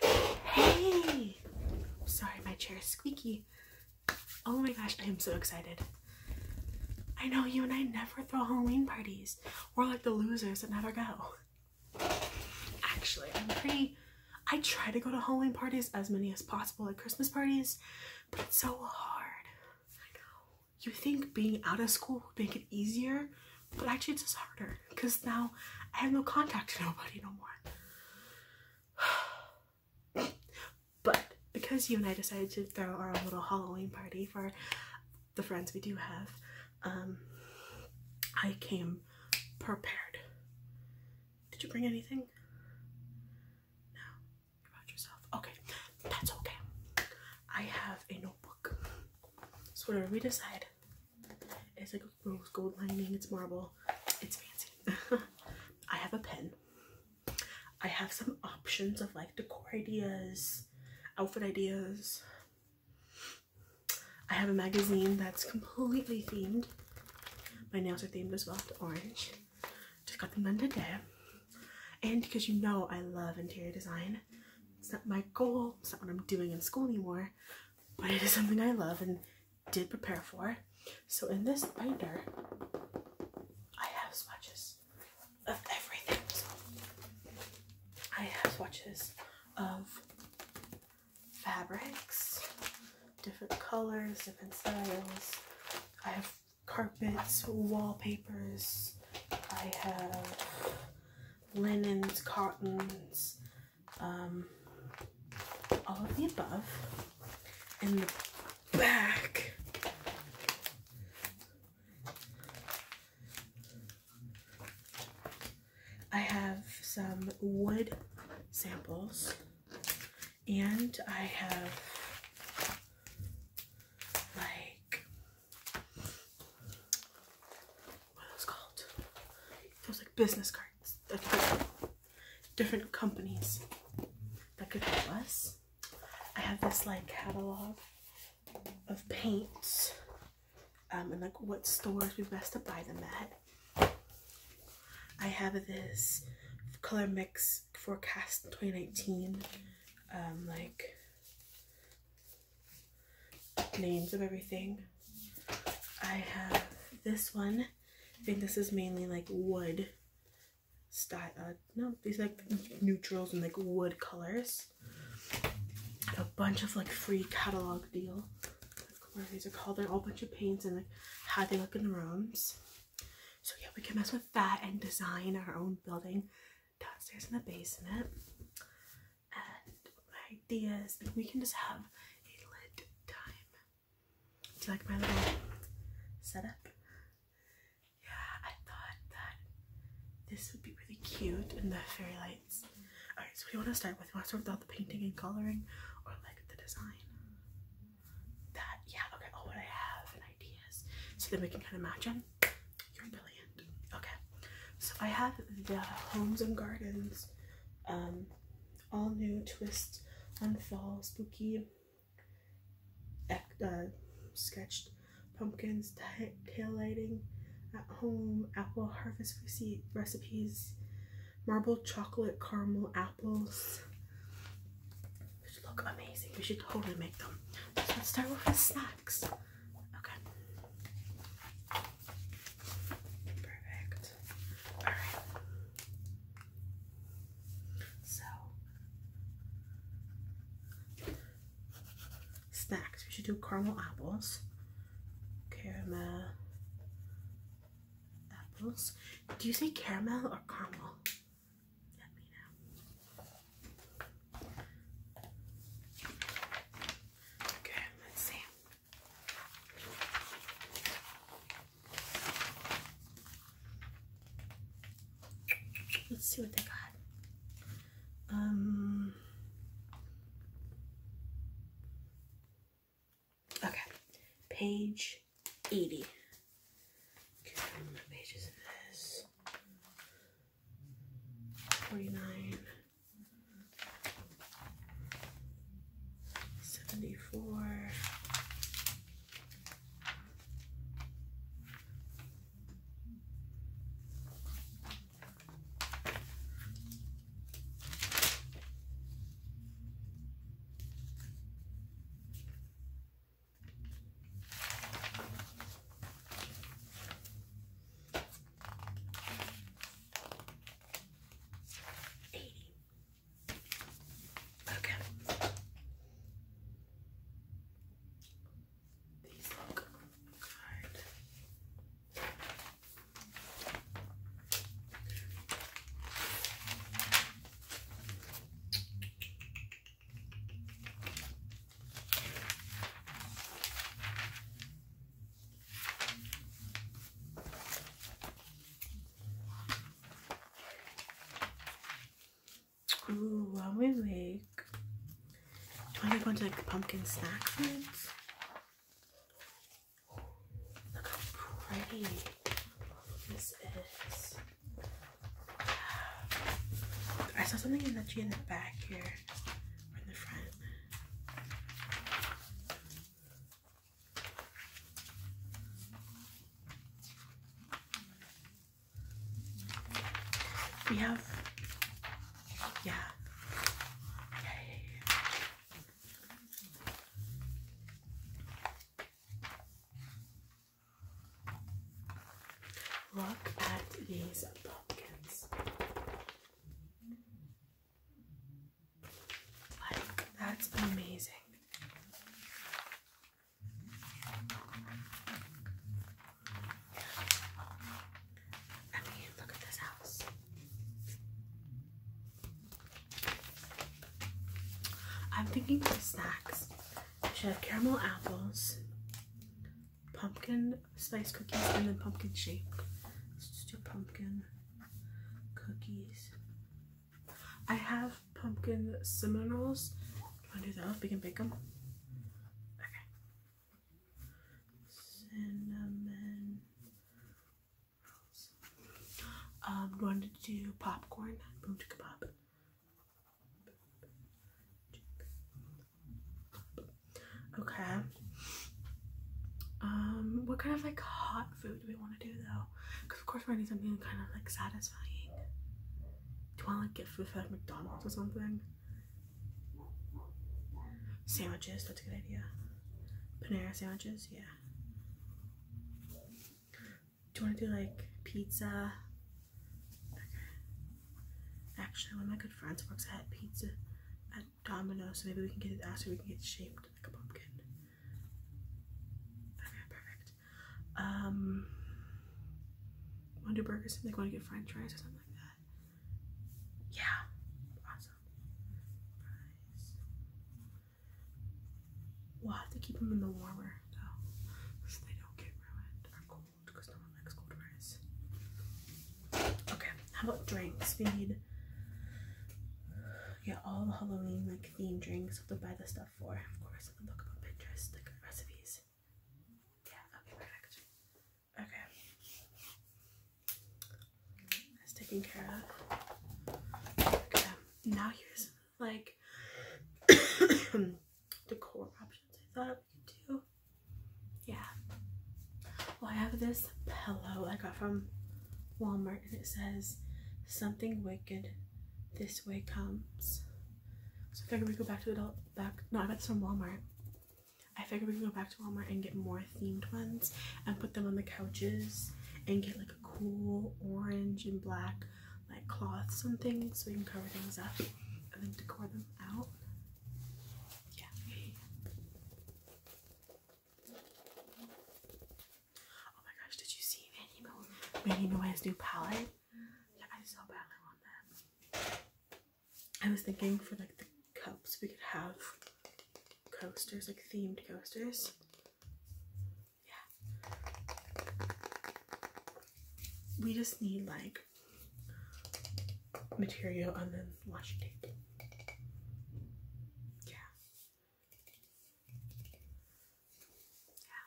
Hey! Sorry, my chair is squeaky. Oh my gosh, I am so excited. I know you and I never throw Halloween parties. We're like the losers that never go. Actually, I'm pretty. I try to go to Halloween parties as many as possible, like Christmas parties, but it's so hard. I know. You think being out of school would make it easier, but actually, it's just harder because now I have no contact to nobody no more. but because you and I decided to throw our own little Halloween party for the friends we do have, um, I came prepared. Did you bring anything? No. You yourself. Okay, that's okay. I have a notebook. So whatever we decide, it's like rose gold lining, it's marble, it's fancy. I have a pen. I have some options of like decor ideas, outfit ideas. I have a magazine that's completely themed. My nails are themed as well to orange. Just got them done today. And because you know I love interior design, it's not my goal, it's not what I'm doing in school anymore, but it is something I love and did prepare for. So in this binder, I have swatches of everything. I have swatches of fabrics, different colors, different styles. I have carpets, wallpapers. I have linens, cottons, um, all of the above. In the back, I have some wood samples, and I have like what are those called? Those like business cards that different companies that could help us. I have this like catalog of paints um, and like what stores we best to buy them at. I have this color mix forecast 2019 um, like names of everything. I have this one. I think this is mainly like wood style. Uh, no, these like neutrals and like wood colors. A bunch of like free catalog deal. Where these are called. They're all a bunch of paints and how they look in the rooms. So yeah, we can mess with that and design our own building downstairs in the basement and ideas, and we can just have a lit time. Do you like my little setup? Yeah, I thought that this would be really cute in the fairy lights. Alright, so what do you want to start with? You want to start with all the painting and coloring or like the design? That, yeah, okay, all oh, what I have and ideas. So then we can kind of match them. You're brilliant. Okay, so I have the Homes and Gardens um, all new twist on fall spooky uh, sketched pumpkins, tail lighting at home, apple harvest receipt recipes, marble chocolate caramel apples, which look amazing. We should totally make them. let's start with the snacks. Okay. Perfect. Alright. So, snacks. We should do caramel apples, caramel apples. Do you say caramel or caramel? Let me know. Okay, let's see. Let's see what they got. Um, okay, page 80. pages is this? 49. 74 80. Okay. These look good while we wait, do I have a bunch of like pumpkin snack Look how pretty this is. I saw something in the tree in the back here, or in the front. We have, yeah, Yay. Look at these pumpkins. Like, that's amazing. I mean, look at this house. I'm thinking for snacks. I should have caramel apples, pumpkin spice cookies, and then pumpkin shape. Let's just do pumpkin cookies. I have pumpkin cinnamon rolls. Do I do those? We can bake them. Okay. Cinnamon rolls. Um, do to do popcorn? Boom chicka pop. Okay. Um, what kind of like hot food do we want to do though? Because of course we're going need something kind of like satisfying. Do you want to like get food from McDonald's or something? Sandwiches, that's a good idea. Panera sandwiches, yeah. Do you want to do like pizza? Okay. Actually, one of my good friends works at pizza domino, so maybe we can get it out so we can get shaped like a pumpkin. Okay, perfect. Um, want to do burgers? Like, want to get French fries or something like that? Yeah, awesome. We'll have to keep them in the warmer though, they don't get ruined or cold, because no one likes cold fries. Okay. How about drinks? We need yeah, all the Halloween like themed drinks. Have to buy the stuff for, of course, and then look up on Pinterest like recipes. Yeah, okay, perfect. Okay, that's taken care of. Okay, now here's like the core options. I thought we would do. Yeah. Well, I have this pillow I got from Walmart and it says something wicked this way comes. So I figured we go back to adult back no I got this Walmart. I figured we could go back to Walmart and get more themed ones and put them on the couches and get like a cool orange and black like cloth something so we can cover things up and then decor them out. Yeah. Oh my gosh, did you see Manny, Mo new palette? Yeah, I so badly want that. I was thinking for like the cups we could have coasters, like themed coasters. Yeah. We just need like material and then washi Yeah. Yeah.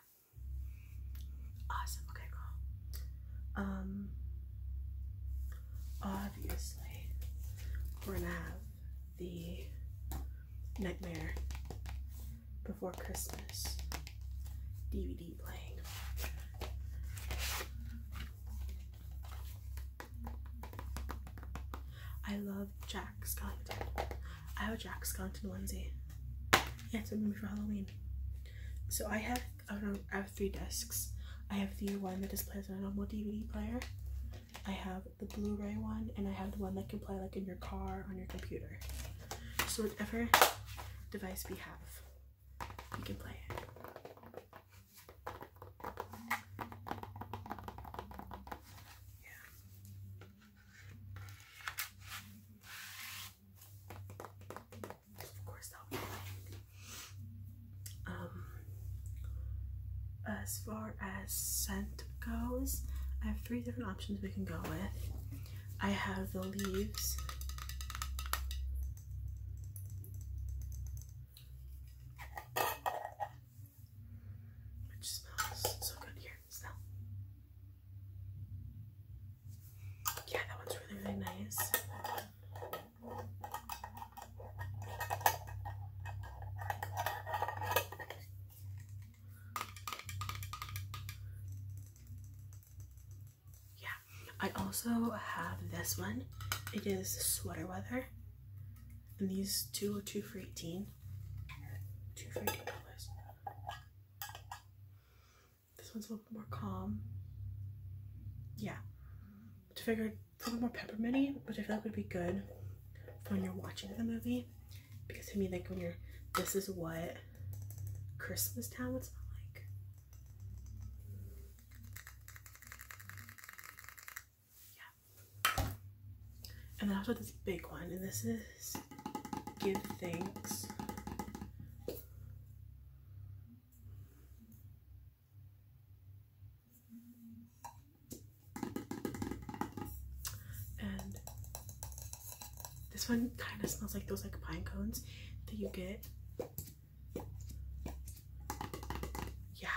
Awesome. Okay, cool. Um, obviously, we're gonna have the Nightmare Before Christmas DVD playing. I love Jack Skellington. I have a Jack Skellington onesie. Yeah, it's a movie for Halloween. So I have I, know, I have three discs. I have the one that displays on a normal DVD player. I have the Blu-ray one, and I have the one that can play like in your car on your computer. So whatever device we have, we can play it. Of course, that would be Um, as far as scent goes, I have three different options we can go with. I have the leaves. Which smells so good. Here, smell. Yeah, that one's really, really nice. Yeah, I also have this one. It is sweater weather. And these two are two for 18. Two for $18. This one's a little more calm. Yeah. To figure a little more pepperminty, which I feel like would be good when you're watching the movie. Because I mean, like when you're, this is what Christmas Town would smell like yeah. And then I also this big one, and this is Give Thanks. And this one kind of smells like those like pine cones that you get yeah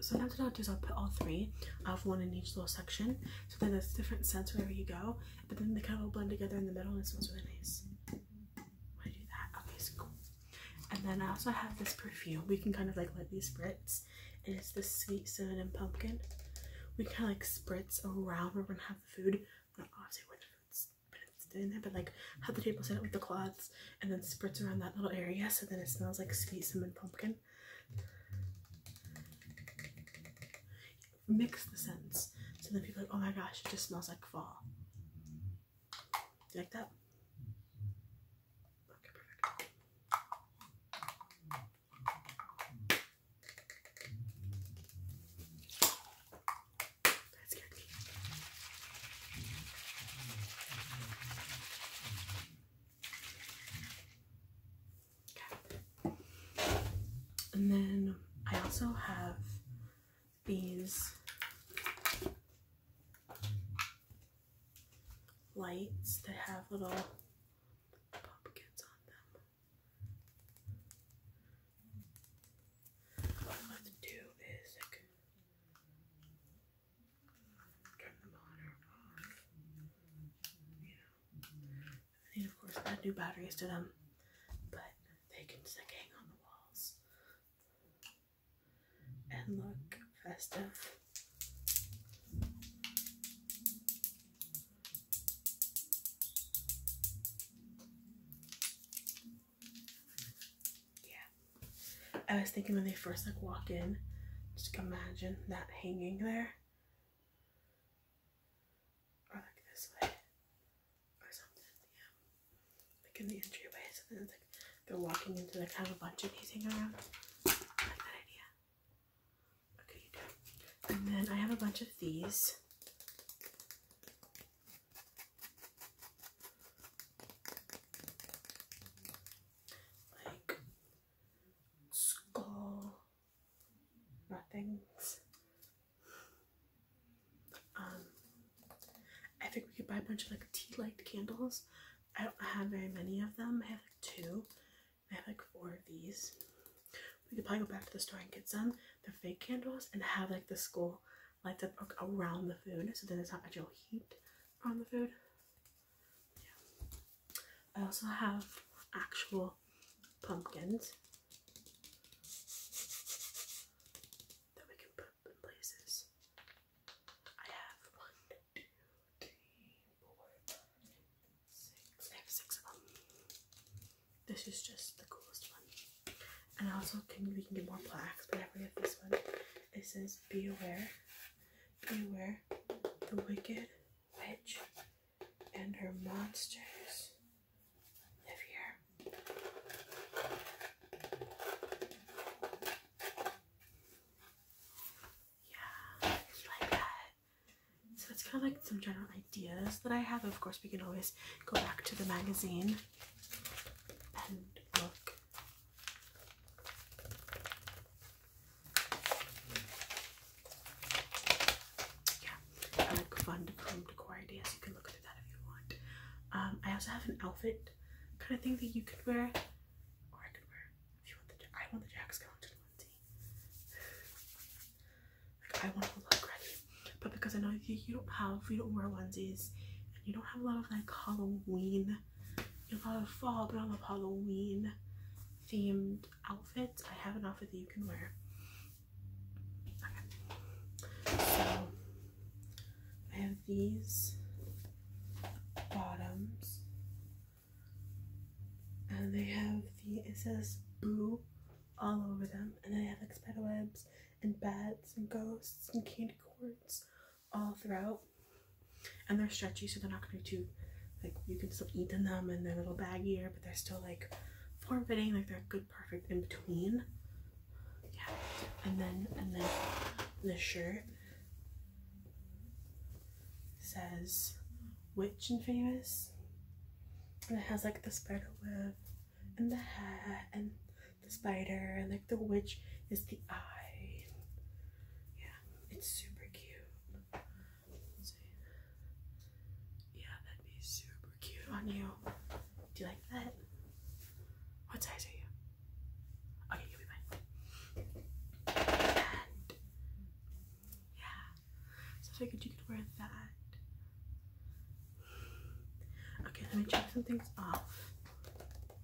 so now what I'll do is I'll put all three. I have one in each little section. So then it's different scents wherever you go. But then they kind of all blend together in the middle and it smells really nice. I do that. Okay, cool. And then I also have this perfume. We can kind of like let these spritz. And it's the sweet cinnamon pumpkin. We kind of like spritz around where we're gonna have the food. Not obviously where the it's in there, but like have the table set up with the cloths and then spritz around that little area so then it smells like sweet cinnamon pumpkin. Mix the scents. So then people are like, oh my gosh, it just smells like fall. Like that? Okay, perfect. That scared me. Okay. And then I also have these lights that have little pumpkins on them. What I'm to do is turn them on or off. You know. I need, of course, add new batteries to them, but they can stick hang on the walls and look festive. Yeah. I was thinking when they first like walk in, just imagine that hanging there. Or like this way. Or something, like in the entryway so then it's like they're walking into like kind of a bunch of pacing around. that idea. Okay, you do. And then I have a bunch of these. Like skull nothings. Um I think we could buy a bunch of like tea light candles I don't have very many of them. I have like two. I have like four of these. We could probably go back to the store and get some. They're fake candles and have like the school lights up around the food so then it's not actual heat on the food. Yeah. I also have actual pumpkins that we can put places. I have one, two, three, four, five, six. I have six of them. This is just the coolest one. And also, can we can get more plaques? But I forget this one. It says, "Be aware, beware, the wicked witch and her monsters." Live here. Yeah, like that. So it's kind of like some general ideas that I have. Of course, we can always go back to the magazine and look. Yeah, like fun decor ideas. You can look through that if you want. Um, I also have an outfit kind of thing that you could wear or I could wear if you want the I want the Jack Skellington onesie. I want to look ready. But because I know you, don't have you don't wear onesies and you don't have a lot of like Halloween you have a lot of fall but I love Halloween themed outfits. I have an outfit that you can wear. Okay. So I have these bottoms. And they have the, it says boo all over them. And they have like spider webs and bats and ghosts and candy cords all throughout. And they're stretchy, so they're not going to be too, like, you can still eat in them and they're a little baggier, but they're still like form fitting, like, they're good, perfect in between. Yeah. And then, and then the shirt says witch and famous. And it has like the spider web and the hat and the spider and like the witch is the eye. Yeah, it's super cute. Yeah, that'd be super cute on you. Do you like that? What size are you? Okay, you'll be fine. yeah, so I figured you could wear that. Okay, let me check some things off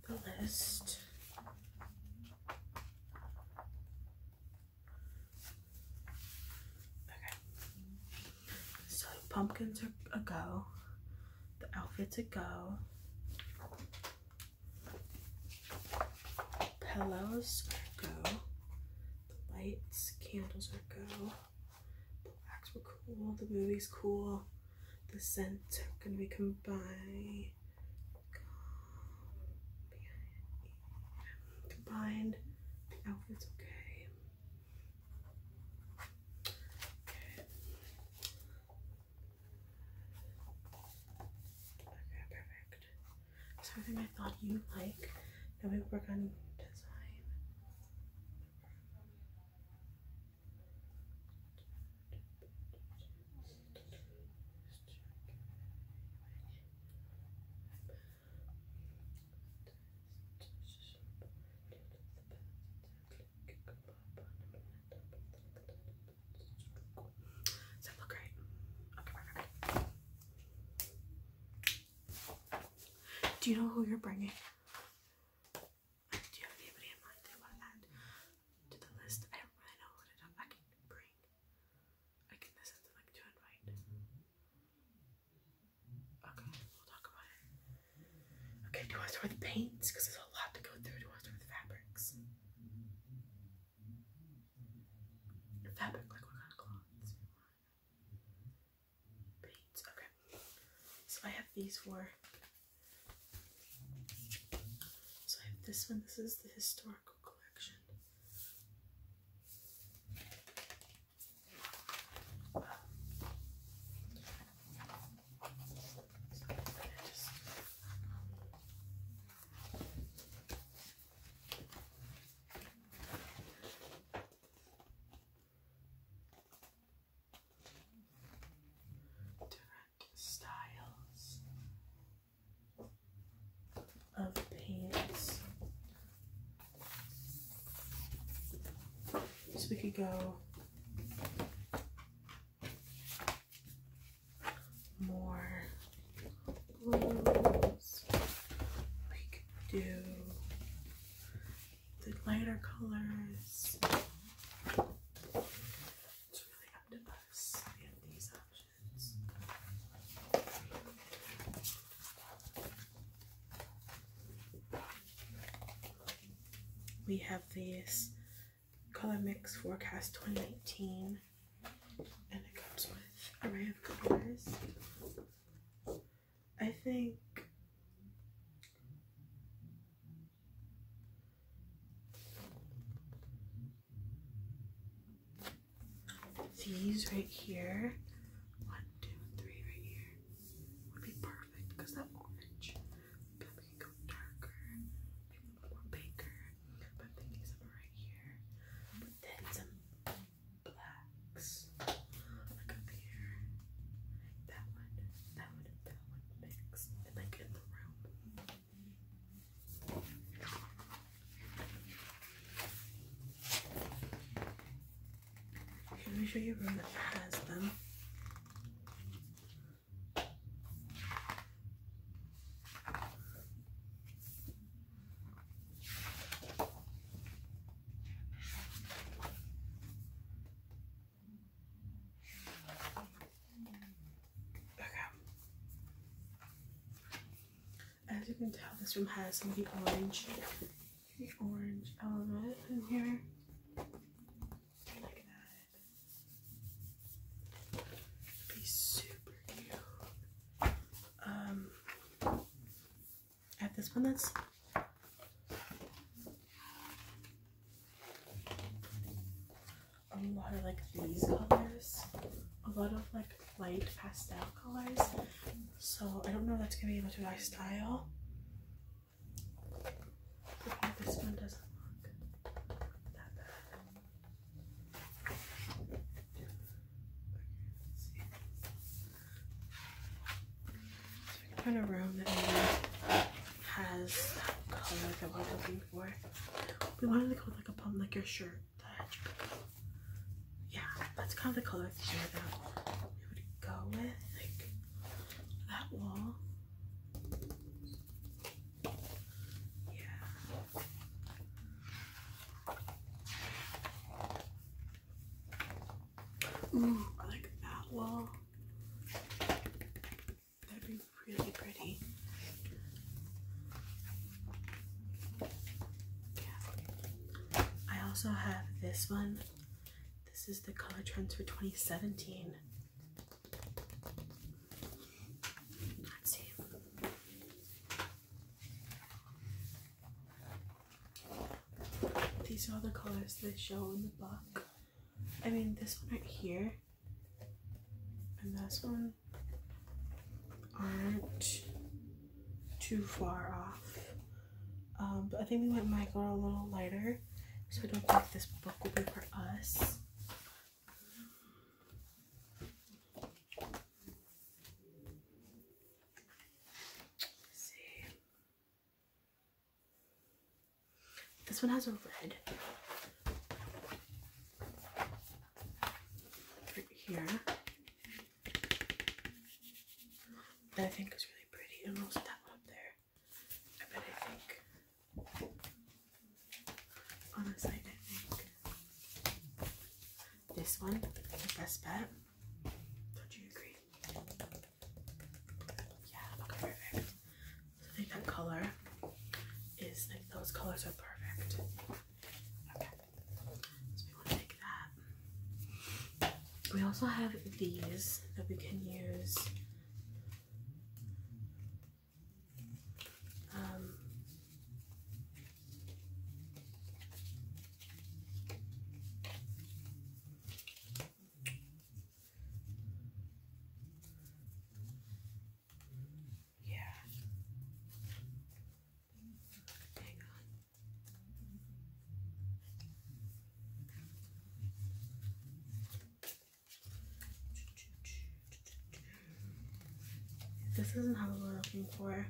the list. Okay, so pumpkins are a go. The outfits a go. Pillows are go. The lights, candles are go. The blacks were cool. The movie's cool. The scents are gonna be combined. Combined. The outfit's Okay. Okay, perfect. So I I thought you like that we work on design. Does that look right? Okay, perfect. Do you know who you're bringing? Do you have anybody in mind that you want to add to the list? I don't really know what I bring. I can listen to like to invite. Okay, we'll talk about it. Okay, do you want to start with paints? Because there's a lot to go through. Do you want to start with fabrics? Fabric, like what kind of cloths? Paints, okay. So I have these four. So I have this one, this is the historical collection. Different styles of pants. So we could go more blues. We could do the lighter colors. It's really up to us. have these We have these Color Mix Forecast 2019. And it comes with array of colors. I think these right here, one, two, three right here, would be perfect because that orange can go darker, more baker, but I'm right here. But then some blacks, like up here. That one, that one, that one mixed, like in the room. Let me show you a room that has them. As you can tell, this room has some of the orange, orange element in here. Like that. Be I have um, this one that's a lot of like these colors, a lot of like light pastel colors. So I don't know if that's gonna be able of my style this one doesn't look that bad. So we can a room that has that color that we're looking for. We wanted to go with like a plum liquor shirt. Yeah, that's kind of the color that we would go with. Like that wall. Yeah. Ooh, I like that wall. That'd be really pretty. Yeah. I also have this one. This is the Color Trends for 2017. These are the colours they show in the book. I mean, this one right here and this one aren't too far off. Um, but I think we went micro a little lighter, so I don't think this book will be for us. This one has a red here that I think is really pretty, and also that one up there. I bet I think on the side, I think. This one is the best bet. Yeah, perfect. I think that color is like those colors are perfect. Okay. So we want to take that. We also have these that we can use um, yeah. Hang on. This isn't how we're looking for.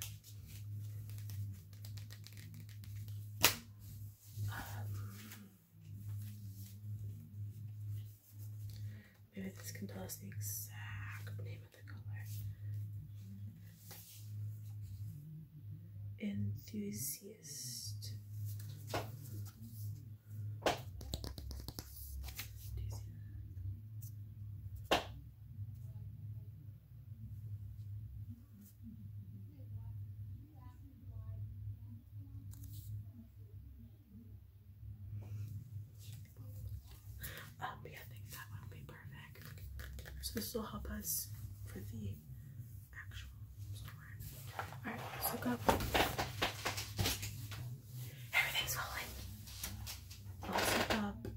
Um, maybe this can tell us the exact name of the color. Enthusiast. Um, yeah, I think that would be perfect. So this will help us for the actual store. Alright, so go. Everything's falling. I'll zip up.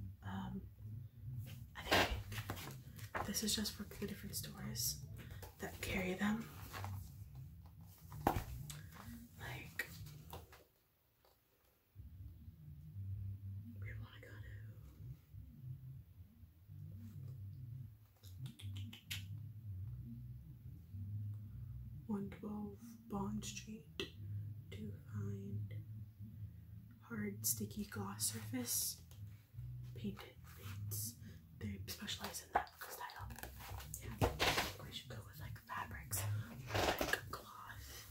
I think this is just for the different stores that carry them. Like, we want to go to. One twelve. Bond Street to find hard sticky gloss surface painted paints. They specialize in that because yeah. We should go with like fabrics like cloth.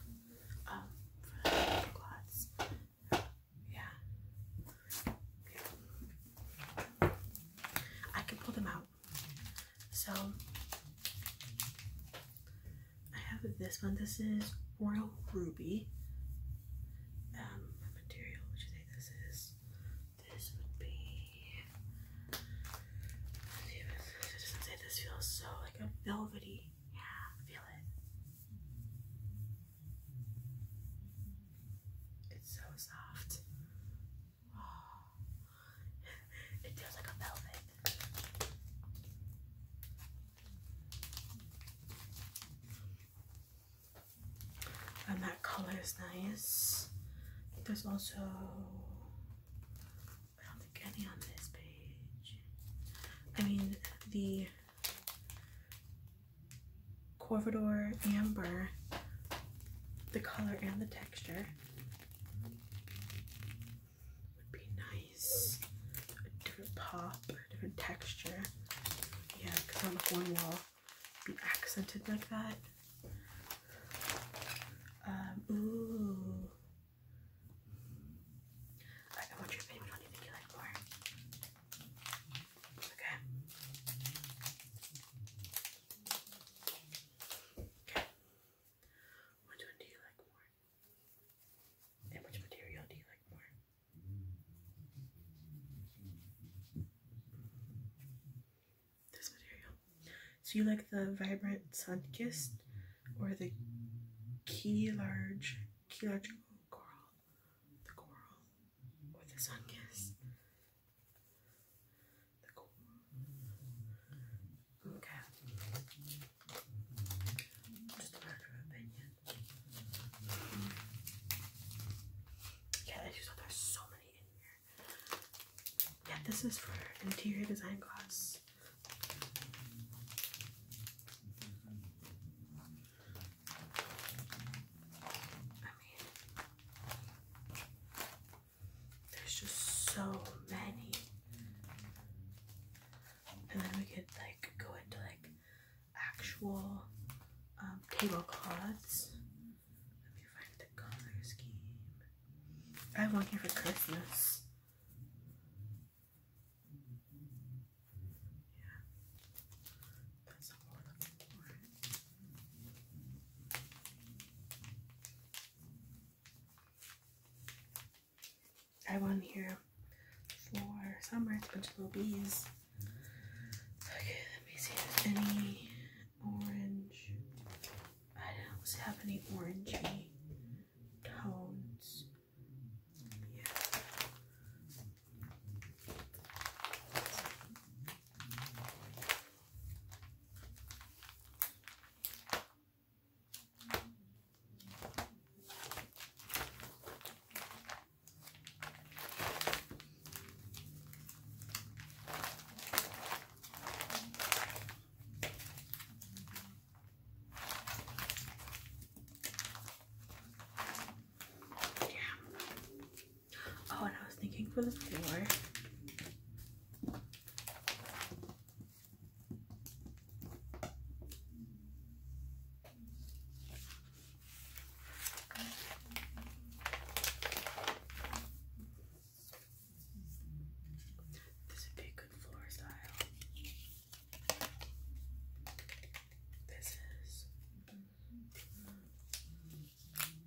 Um cloths. Yeah. yeah. I can pull them out so I have this one. This is Royal Ruby. Um, material, would you say this is? This would be. this feels so like a velvety. Yeah, feel it. It's so soft. It feels like a velvet. And that color is nice. There's also I don't think any on this page. I mean the Corvidor Amber, the color and the texture would be nice. A different pop, a different texture. Yeah, because on the one wall be accented like that. Um, ooh. I, I want your What do you think you like more? Okay. Okay. Which one do you like more? And which material do you like more? This material. So you like the vibrant sun or the key large key large coral? The coral or the sun Okay. Just a matter of opinion. Yeah, I just thought there's so many in here. Yeah, this is for interior design class. I mean, there's just so many. And then we could like go into like actual um, tablecloths. Let me find the color scheme. I have one here for Christmas. Yeah. I want here for summer. It's a bunch of little bees. Okay, let me see if any orange. I don't have any orangey tones. Yeah. Oh, and I was thinking for the floor, this would be a good floor style. This is.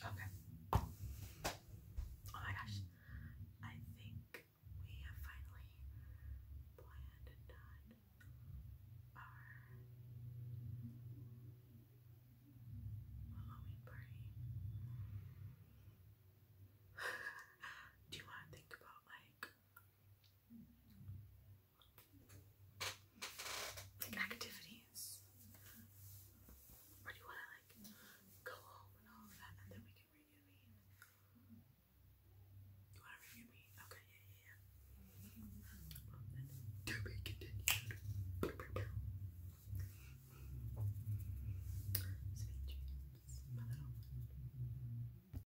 Okay. Oh my gosh. I think we have finally planned and done our Halloween party. Do you want to think about like like activities. Or do you wanna like go home and all of that and then we can reconvene? You wanna reconvene? Okay, yeah, yeah, yeah. to be continued. Sweet dreams, my little